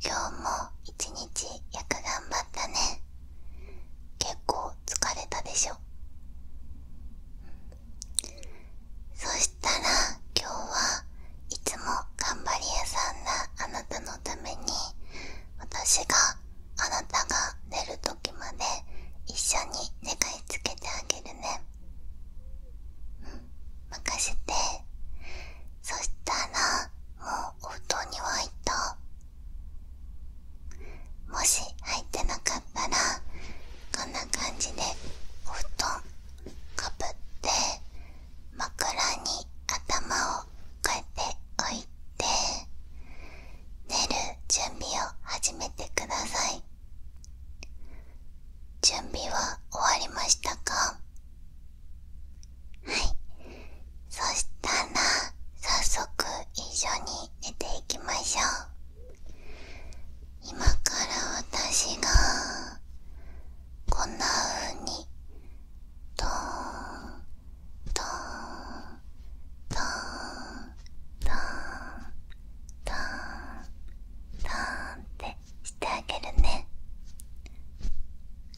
今日も一日よ頑張ったね結構疲れたでしょそしたら今日はいつも頑張り屋さんなあなたのために私があなたが寝る時まで一緒に寝かしつけてあげるねうん任せてそしたらもうおには入たもし入ってなかったらこんな感じでお布団かぶって枕に頭をこうやって置いて寝る準備を始めてください準備は終わりましたかはいそしたらさっ早速一緒に寝ていきましょう今から私がこんな風にドーンドーンドーンドーンンってしてあげるね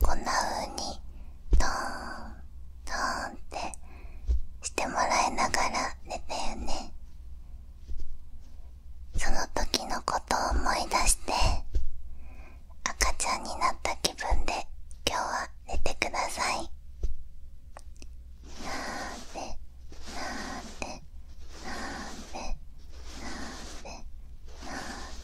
こんな風にトーントーンってしてもらいながら寝てよねその時のことを思い出して赤ちゃんになった気分で今日は寝てくださいなーてなーてなーてなーて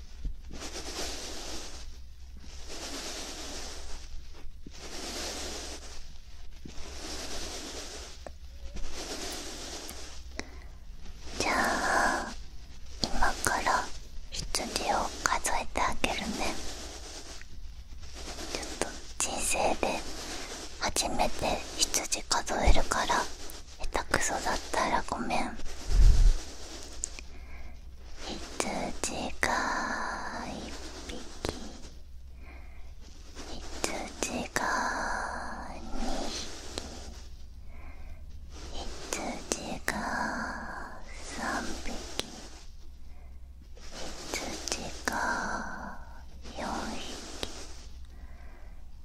じゃあ今から羊を数えてあげるねちょっと人生で初めて羊数えるから下手くそだったらごめん羊が一匹羊が二匹羊が三匹羊が4匹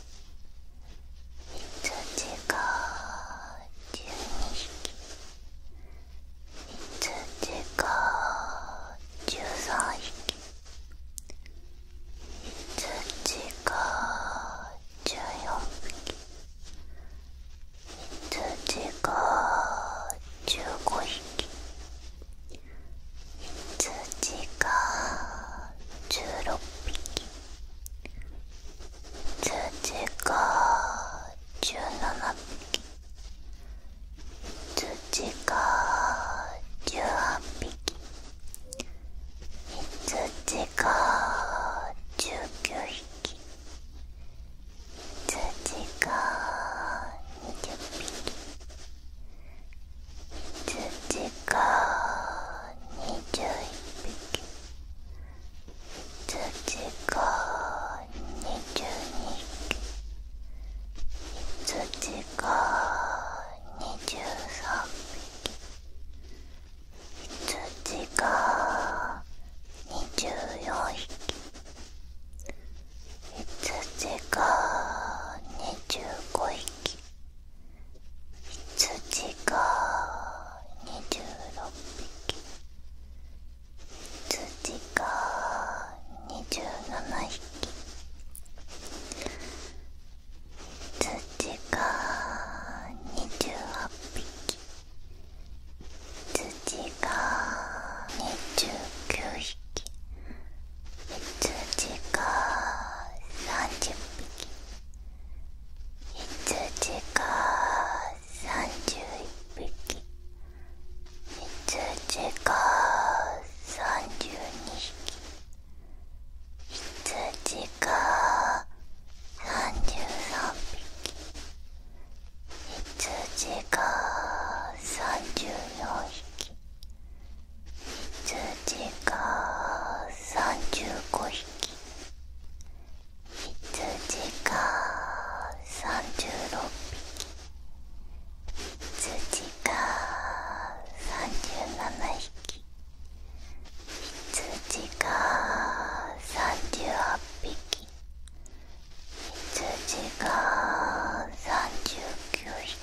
羊が12匹羊が13匹羊が14匹羊が15匹羊つ羊が16つ羊が17つ羊が18つ羊が19つ羊が20匹土が21匹土が22匹土が23匹土が24匹羊が25匹ひつじが26匹じが27匹じが28匹じが29匹つ羊が30匹つ羊が31匹つ羊が32匹つ羊が33匹つ羊が34匹羊が35匹羊が36匹羊が37匹羊が38匹羊が39匹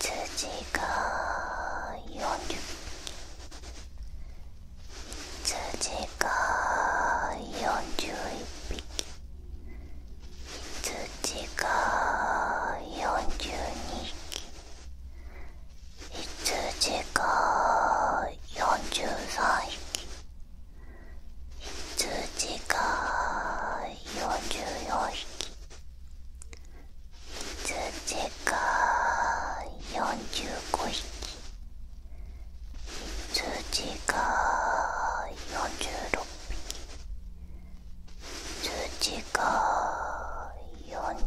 羊が40匹。羊が41匹羊が42匹羊が43匹羊が44匹つ羊が45匹羊が46匹羊が47匹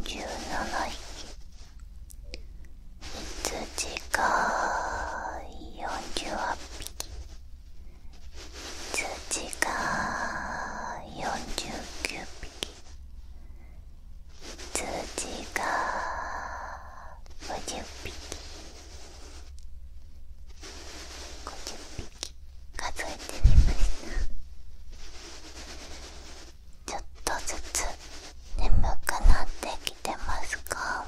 羊が48匹通知が49匹通知が50匹50匹数えてみましたちょっとずつ眠くなってきてますか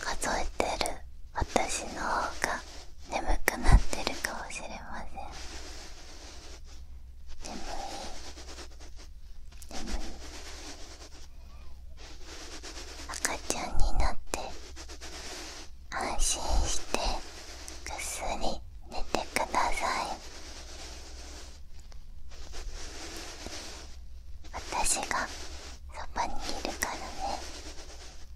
数えてる私の方が眠くなってるかもしれません眠い眠い赤ちゃんになって安心してぐっすり寝てください私がそばにいるからね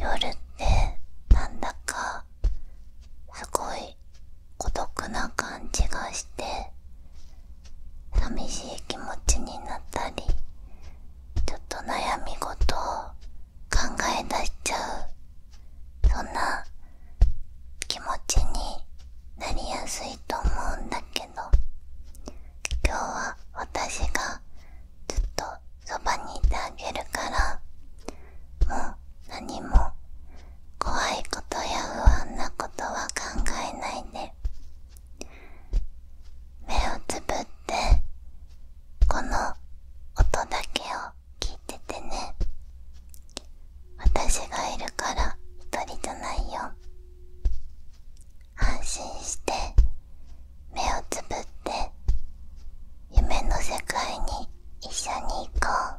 夜ってなんだかすごい孤独な感じがして寂しい気持ちになったりちょっと悩み事を考え出しちゃうそんな気持ちになりやすいと思うんだけど今日は私がずっとそばにいてあげるからもう何も怖いことや不安なことは考えないで目をつぶってこの音だけを聞いててね私がいるから一人じゃないよ安心して目をつぶって夢の世界に一緒に行こう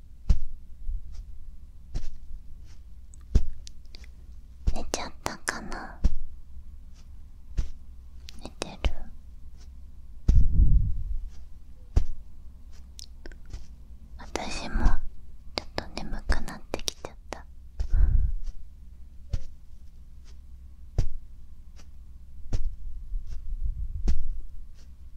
寝ちゃったかな寝てる私もちょっと眠くなってきちゃった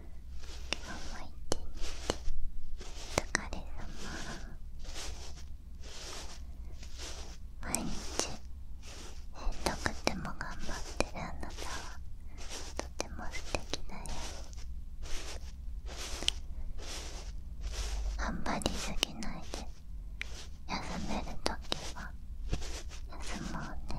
思い出にお疲れ様毎日しんどくても頑張ってるあなたはとても素敵な夜。頑張りすぎないで休めるときは休もうね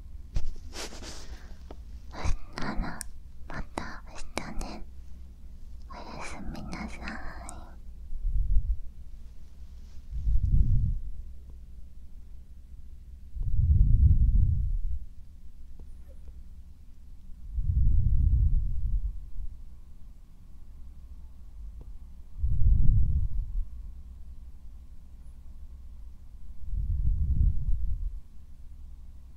そしたらまた明日ねおやすみなさい。